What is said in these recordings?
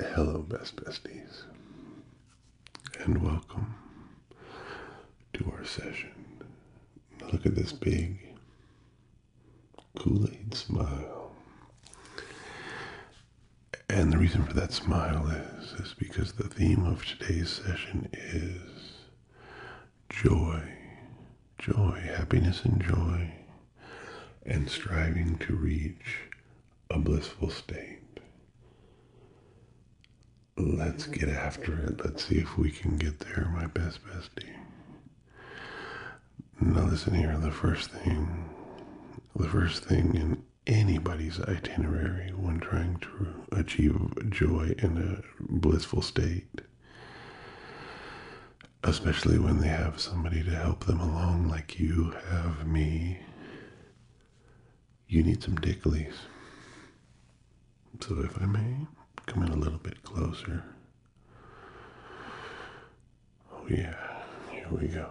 Hello, best besties, and welcome to our session. Look at this big Kool Aid smile. And the reason for that smile is, is because the theme of today's session is joy, joy, happiness, and joy and striving to reach a blissful state. Let's get after it. Let's see if we can get there, my best bestie. Now, listen here the first thing, the first thing in anybody's itinerary when trying to achieve joy in a blissful state especially when they have somebody to help them along like you have me you need some dicklies so if i may come in a little bit closer oh yeah here we go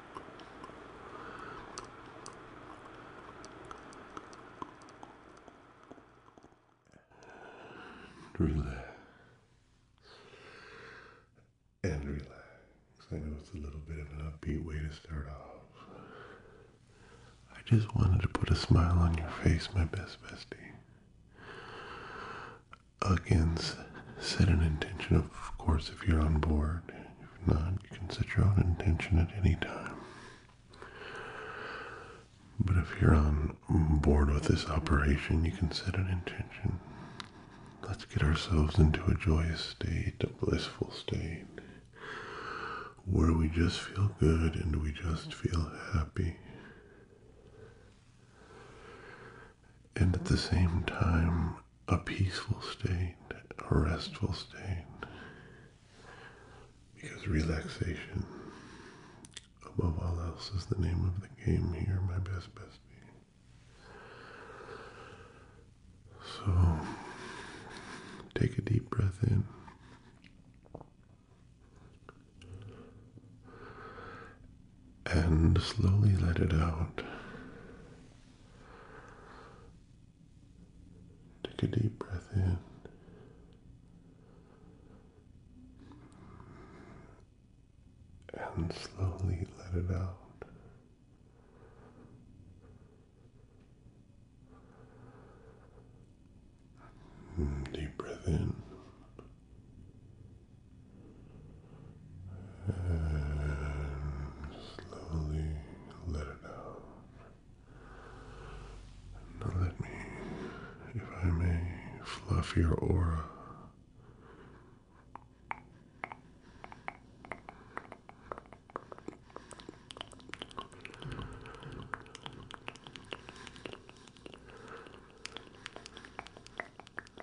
Relax. And relax. I know it's a little bit of an upbeat way to start off. I just wanted to put a smile on your face, my best bestie. Again, set an intention, of course, if you're on board. If not, you can set your own intention at any time. But if you're on board with this operation, you can set an intention. Let's get ourselves into a joyous state, a blissful state, where we just feel good and we just feel happy and at the same time a peaceful state, a restful state. Because relaxation, above all else, is the name of the game here, my best bestie. So, take a deep breath in and slowly let it out. Take a deep breath in. And slowly let it out. Deep breath in and slowly let it out. Now let me, if I may, fluff your aura.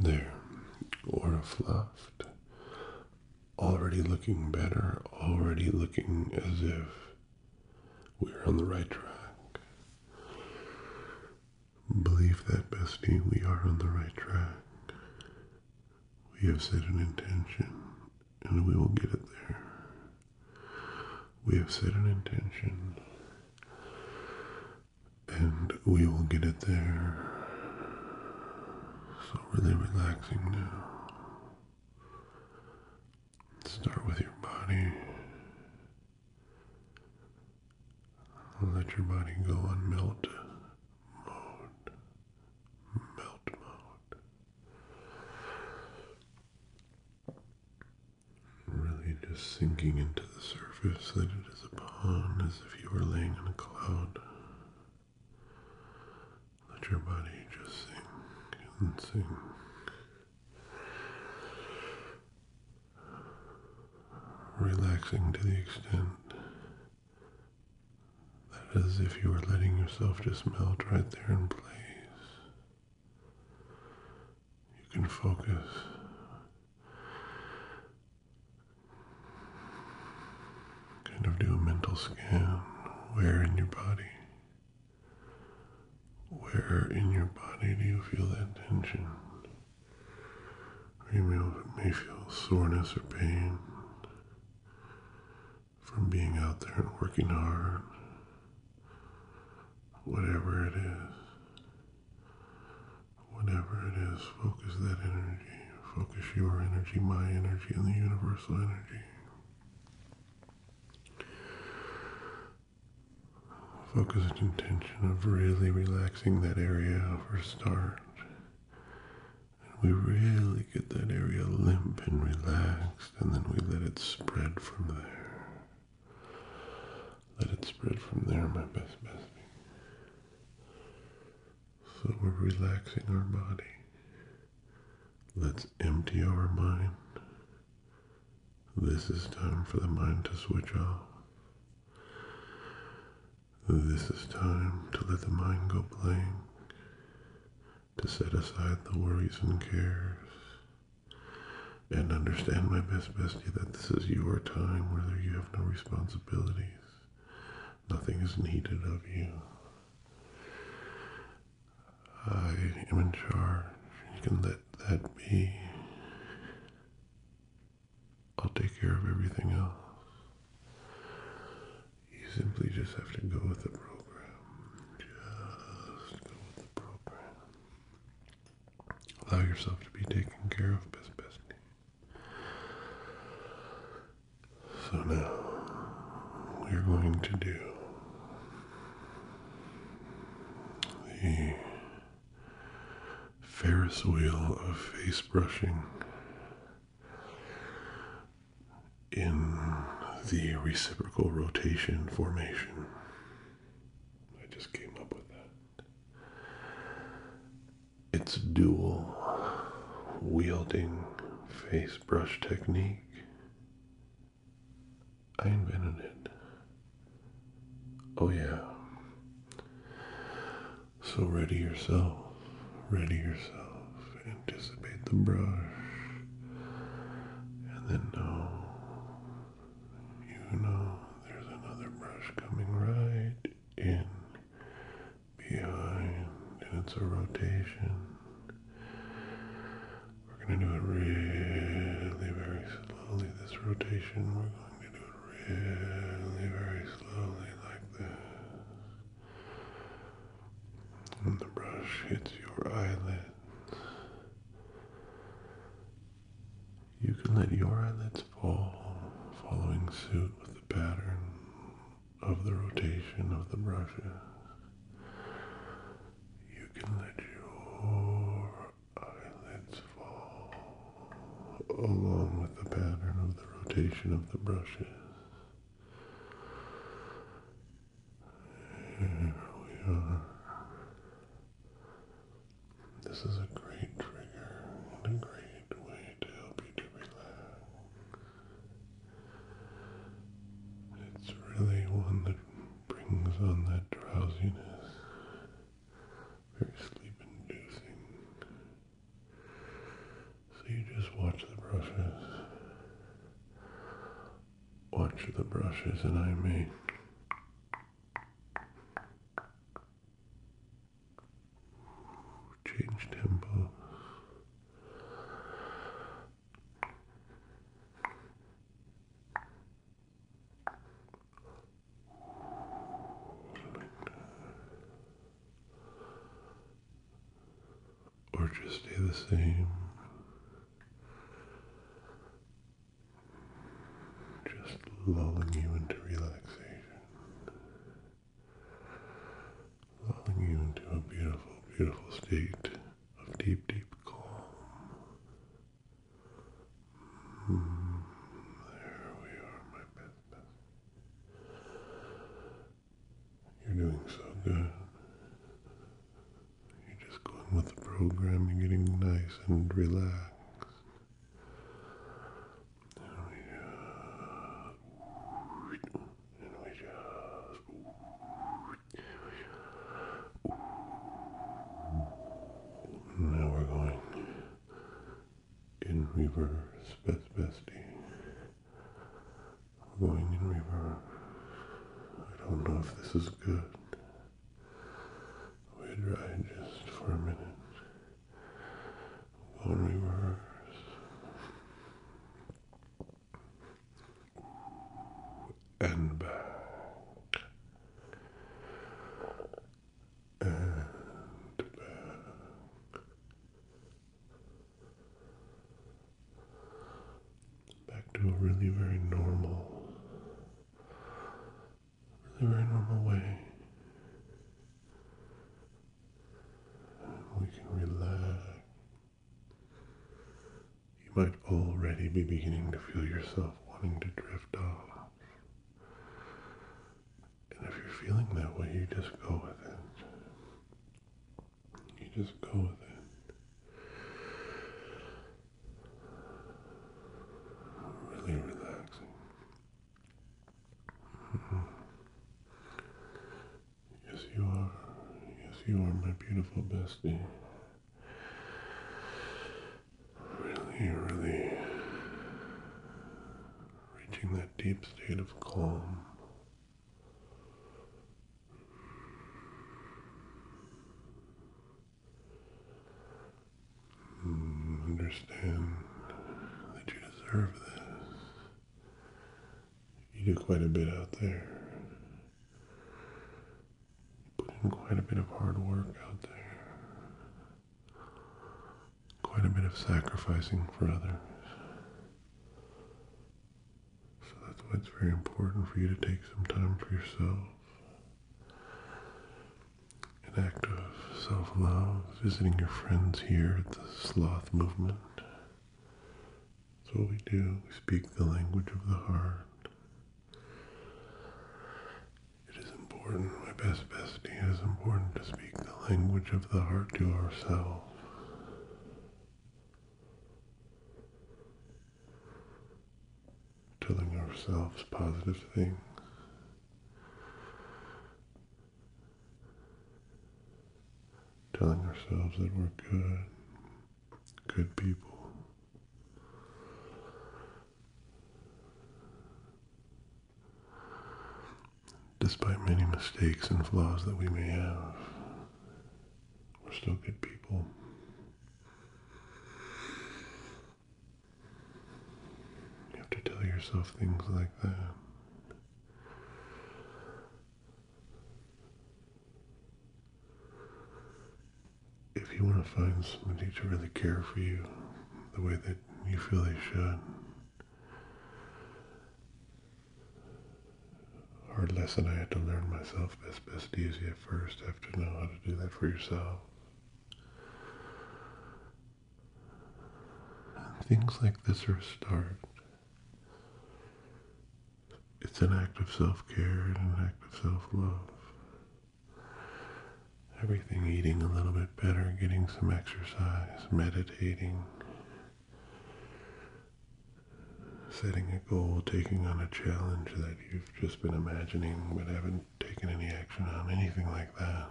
There, Aura fluffed. Already looking better, already looking as if we're on the right track. Believe that, bestie, we are on the right track. We have set an intention, and we will get it there. We have set an intention, and we will get it there. So, really relaxing now. Start with your body. Let your body go on melt mode. Melt mode. Really just sinking into the surface that it is upon as if you were laying in a cloud. Let your body just sink and sink. Relaxing to the extent that as if you were letting yourself just melt right there in place. You can focus Kind of do a mental scan. Where in your body? Where in your body do you feel that tension? Or you may feel soreness or pain from being out there and working hard. Whatever it is. Whatever it is, focus that energy. Focus your energy, my energy, and the universal energy. Focused intention of really relaxing that area for a start. And we really get that area limp and relaxed, and then we let it spread from there let it spread from there, my best bestie. So we're relaxing our body. Let's empty our mind. This is time for the mind to switch off. This is time to let the mind go blank, to set aside the worries and cares, and understand, my best bestie, that this is your time whether you have no responsibility Nothing is needed of you. I am in charge. You can let that be. I'll take care of everything else. You simply just have to go with the program. Just go with the program. Allow yourself to be taken care of best bestie. So now we're going to do the Ferris wheel of face brushing in the reciprocal rotation formation. I just came up with that. Its dual wielding face brush technique, I invented it. Oh, yeah. So ready yourself, ready yourself, anticipate the brush, and then know, you know, there's another brush coming right in, behind, and it's a rotation. We're going to do it really very slowly. This rotation, we're going to do it really very slowly like this. And the brush hits your eyelid. You can let your eyelids fall, following suit with the pattern of the rotation of the brushes. You can let your eyelids fall along with the pattern of the rotation of the brushes. Here we are. This is a great trigger and a great way to help you to relax. It's really one that brings on that drowsiness, very sleep inducing. So you just watch the brushes. Watch the brushes, and I make. Change tempo. Or just stay the same just lulling you into relaxation, lulling you into a beautiful, beautiful state of deep, deep calm. Mm, there we are, my best, best. You're doing so good. You're just going with the program. You're getting nice and relaxed. And we just, and we just, now we're going in reverse, best bestie. We're going in reverse. I don't know if this is good. We'd ride just for a minute. One reverse. And back. And back. Back to a really very normal in very normal way. we can relax. You might already be beginning to feel yourself wanting to drift off. And if you're feeling that way, you just go with it. You just go with it. Really relaxing. Yes, you are. Yes, you are my beautiful bestie. Really, really reaching that deep state of calm. Hmm, understand that you deserve this. You do quite a bit out there. You put in quite a bit of hard work out there. Quite a bit of sacrificing for others. So that's why it's very important for you to take some time for yourself an act of self love, visiting your friends here at the Sloth Movement. That's what we do. We speak the language of the heart. It is important, my best bestie, it is important to speak the language of the heart to ourselves telling ourselves positive things. Telling ourselves that we're good, good people. Despite many mistakes and flaws that we may have, we're still good people. You have to tell yourself things like that. If you want to find somebody to really care for you the way that you feel they should, hard lesson I had to learn myself best best easiest at first. have to know how to do that for yourself. Things like this are a start. It's an act of self-care and an act of self-love. Everything eating a little bit better, getting some exercise, meditating, setting a goal, taking on a challenge that you've just been imagining but haven't Taking any action on anything like that,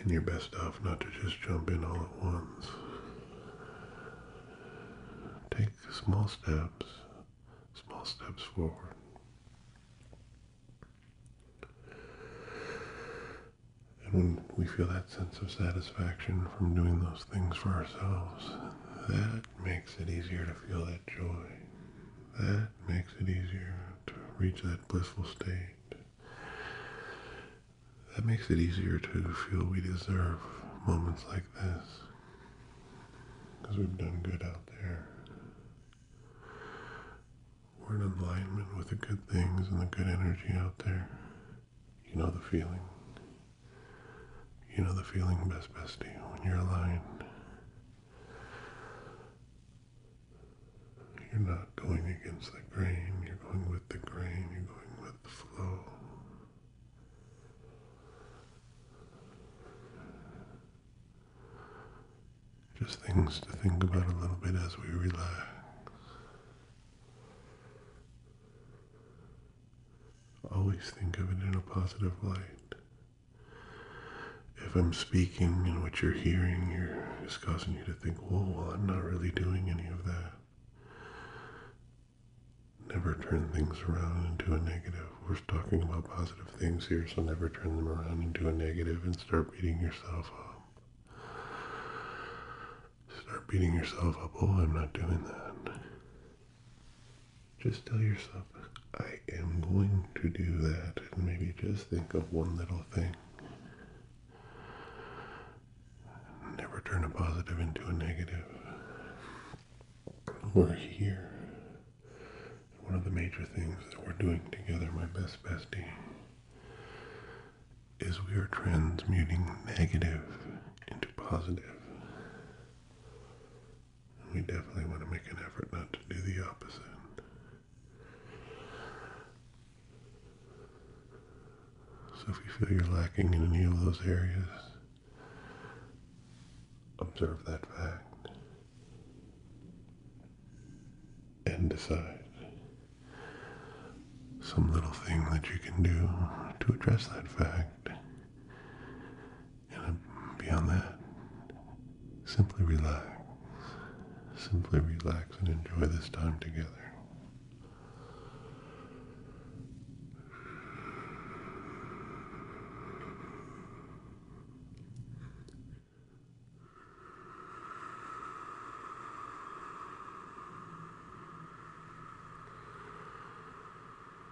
and you're best off not to just jump in all at once. Take small steps, small steps forward. And when we feel that sense of satisfaction from doing those things for ourselves, that makes it easier to feel that joy. That makes it easier to reach that blissful state. That makes it easier to feel we deserve moments like this. Because we've done good out there. We're in alignment with the good things and the good energy out there. You know the feeling. You know the feeling, best bestie, when you're aligned. You're not going against the grain, you're going with the grain, you're going with the flow. Just things to think about a little bit as we relax. Always think of it in a positive light if I'm speaking and what you're hearing is causing you to think, whoa, well, I'm not really doing any of that. Never turn things around into a negative. We're talking about positive things here, so never turn them around into a negative and start beating yourself up. Start beating yourself up, oh, I'm not doing that just tell yourself, I am going to do that, and maybe just think of one little thing. Never turn a positive into a negative. We're here. One of the major things that we're doing together, my best bestie, is we are transmuting negative into positive. We definitely want to make an effort not to do the opposite. So if you feel you're lacking in any of those areas, observe that fact and decide some little thing that you can do to address that fact and beyond that, simply relax. Simply relax and enjoy this time together.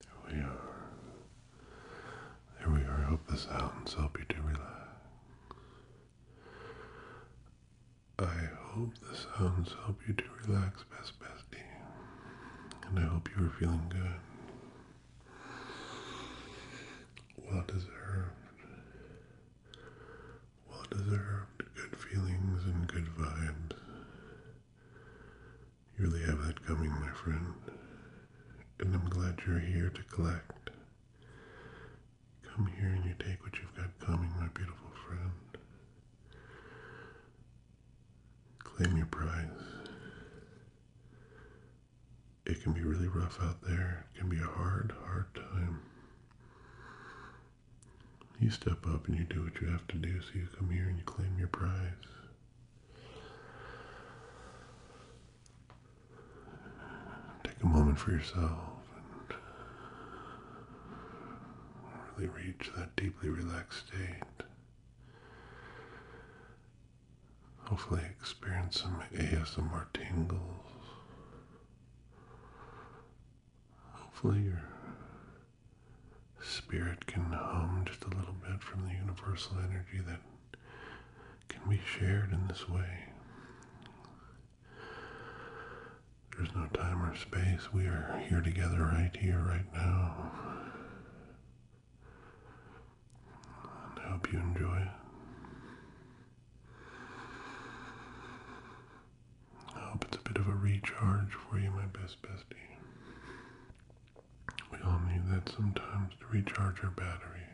There we are. There we are. I hope the sounds help you to relax. I hope the sounds help you to relax, best bestie. And I hope you are feeling good. Well deserved. Well deserved good feelings and good vibes. You really have that coming, my friend, and I'm glad you're here to collect. Come here and you take what you've got coming, my beautiful friend. Claim your prize. It can be really rough out there. It can be a hard, hard time. You step up and you do what you have to do, so you come here and you claim your prize. Take a moment for yourself and really reach that deeply relaxed state. Hopefully, experience some ASMR tingles. Hopefully, you're spirit can hum just a little bit from the universal energy that can be shared in this way. There's no time or space. We are here together right here, right now. I hope you enjoy I hope it's a bit of a recharge for you, my best bestie. We all need that sometimes to recharge our batteries.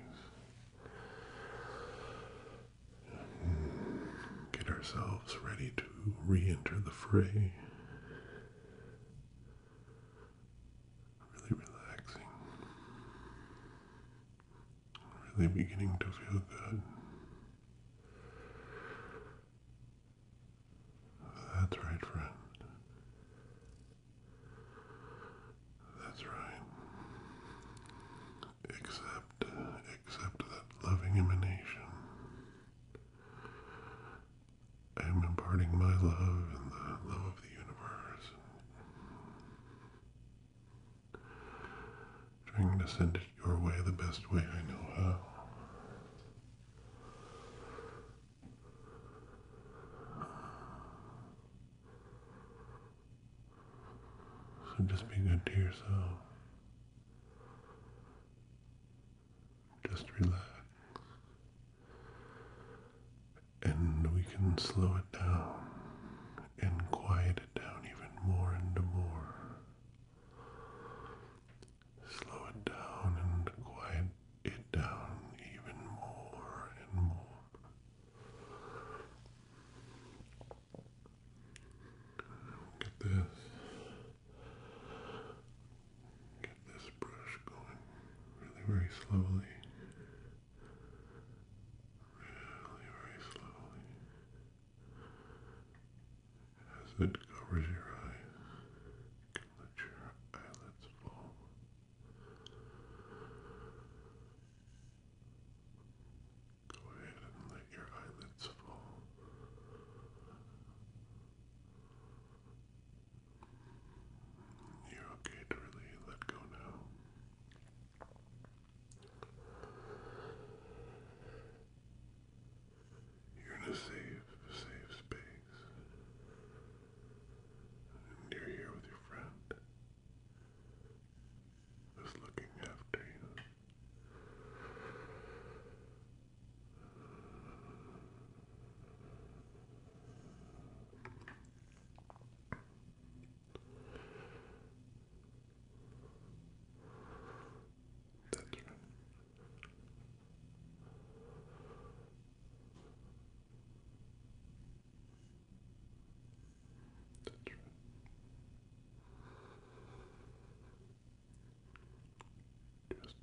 Get ourselves ready to re enter the fray. Really relaxing. Really beginning to feel good. That's right, friend. That's right. Except, except that loving emanation. I am imparting my love and the love of the universe. Trying to send it your way the best way I know how. So just be good to yourself. Just relax. And we can slow it down and quiet it down even more and more. Slow it down and quiet it down even more and more. Get this. Get this brush going really very slowly. Really very slowly as it covers your eyes, let your eyelids fall. Go ahead and let your eyelids fall. You're okay to really let go now. You're in a safe, safe space. And you're here with your friend. Who's looking after you. That's right. That's right. Just drift. Just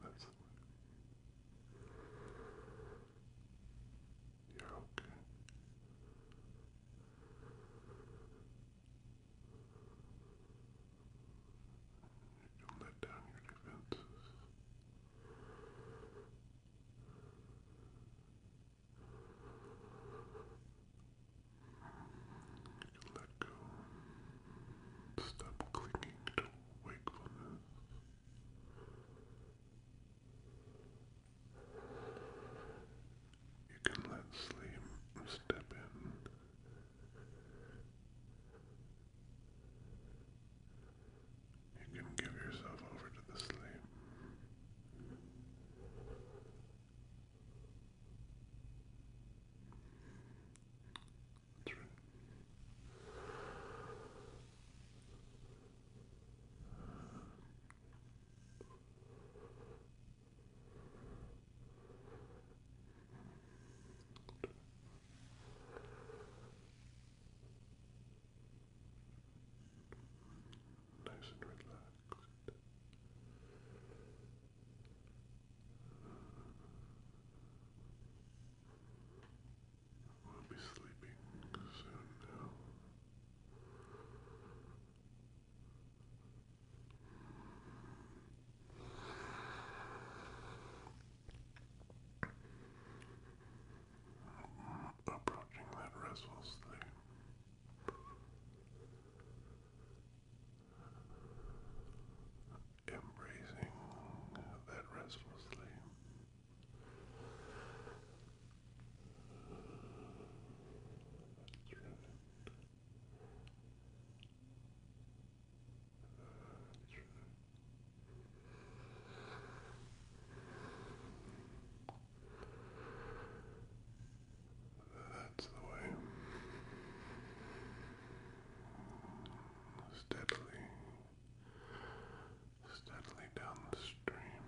Excellent. you okay. You can let down your defenses. Let go. Stop clinging to wakefulness. You can let sleep step in. You can give yourself over to the sleep. That's right. Nice and relaxed. I'll be sleeping soon now. Approaching that restful state. Embracing that restful sleep. That's right. That's right. That's the way. Steadily, steadily down the stream.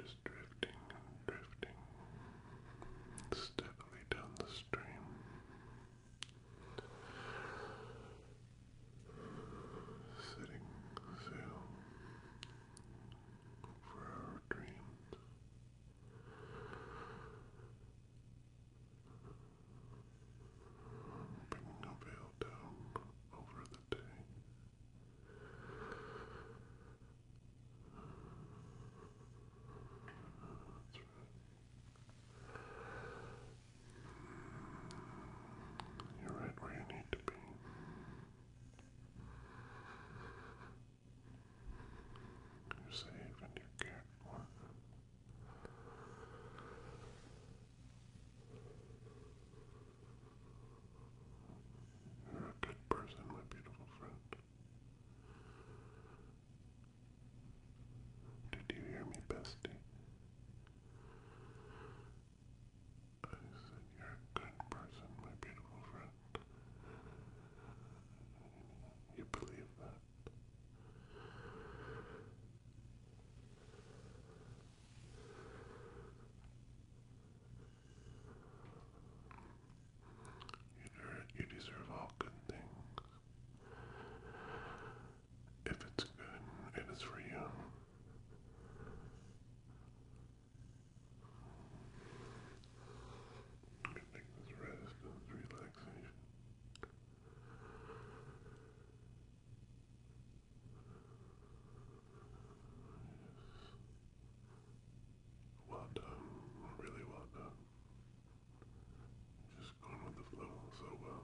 Just drifting and drifting. Steadily down the stream. Sitting still for our dreams. Bringing a veil down over the day. You're right where you need to be. Crusade when you get one. You're a good person, my beautiful friend. Did you hear me, bestie? I said, You're a good person, my beautiful friend. You believe that. You, deserve all good things. If it's good, it is for you. I think this rest is relaxation. Well done, really well done. Just going with the flow so well.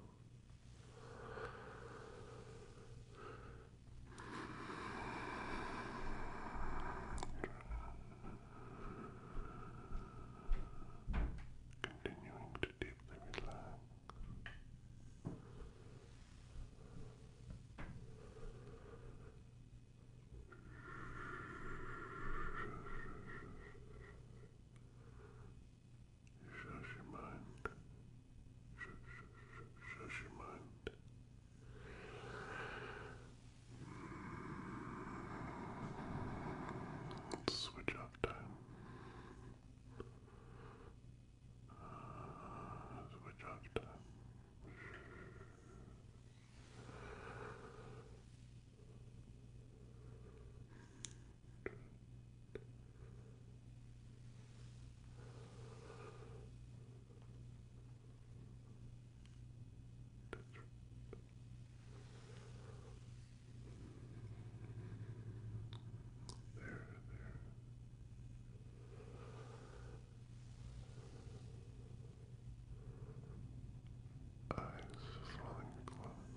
Continuing to deeply relax. You your mind sh sh sh shush your mind. It's switch off time. Uh, switch off time. Shh. There, there. Eyes flying closed.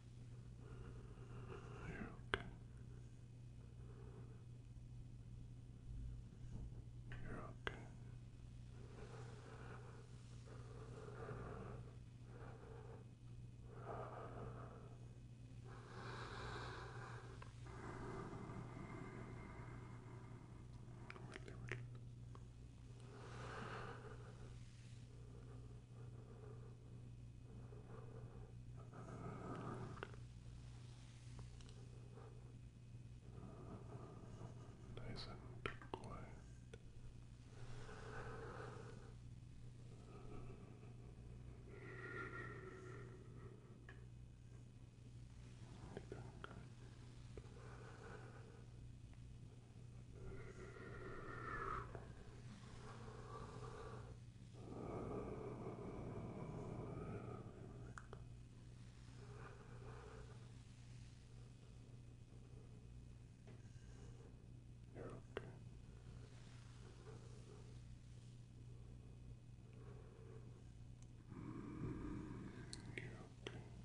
You're okay. You're okay. Really, really. Nice and quiet. Good. You're okay. Mm, you're okay. Uh,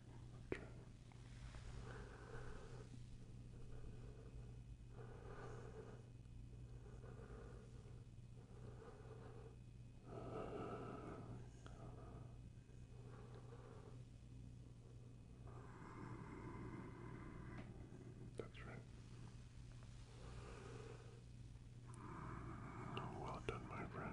Okay. That's right. Well done, my friend.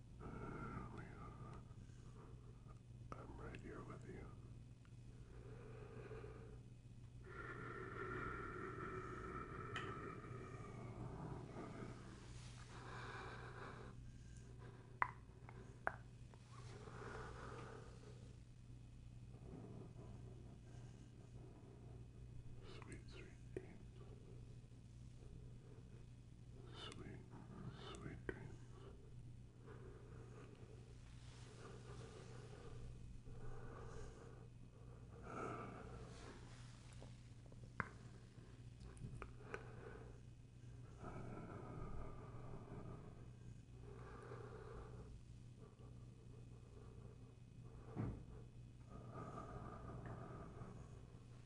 I'm right here with you. Sweet, sweet dreams. Sweet, sweet dreams.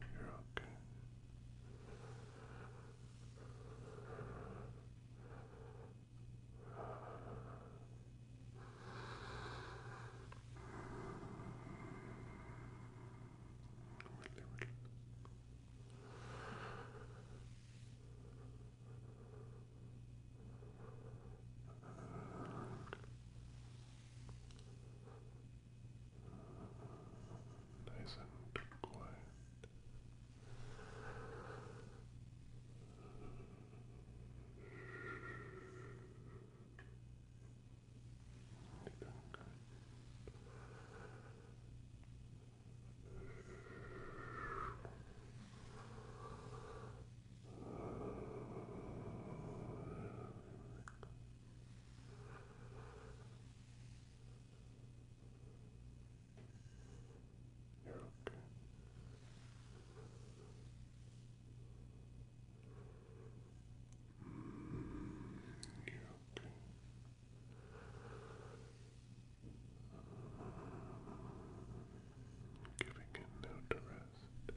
You're okay. Really, really. Good nice and quiet. You're doing good. Good. You're okay. you're okay. Giving it no to rest.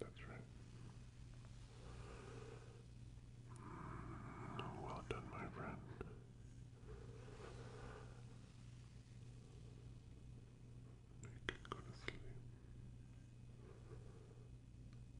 That's right. Well done, my friend. You can go to sleep.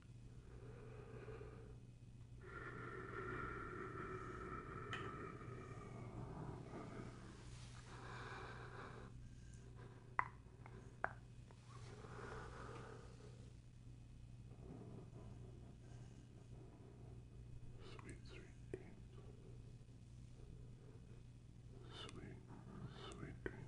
Sweet, sweet dreams. Sweet, sweet dreams.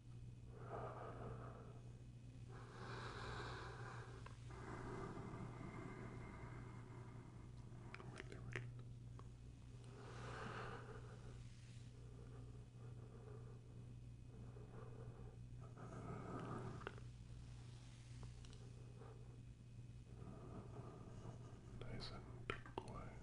Nice and quiet.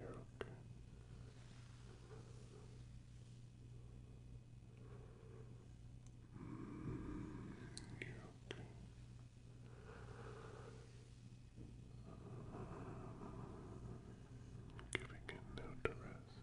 You're okay. you're okay. giving it now to rest.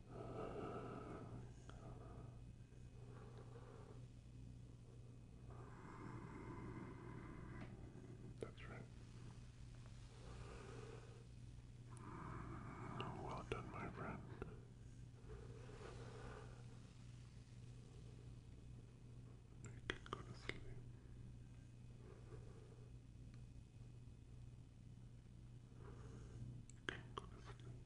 That's right. Well done, my friend. You can go to sleep. You can go to sleep.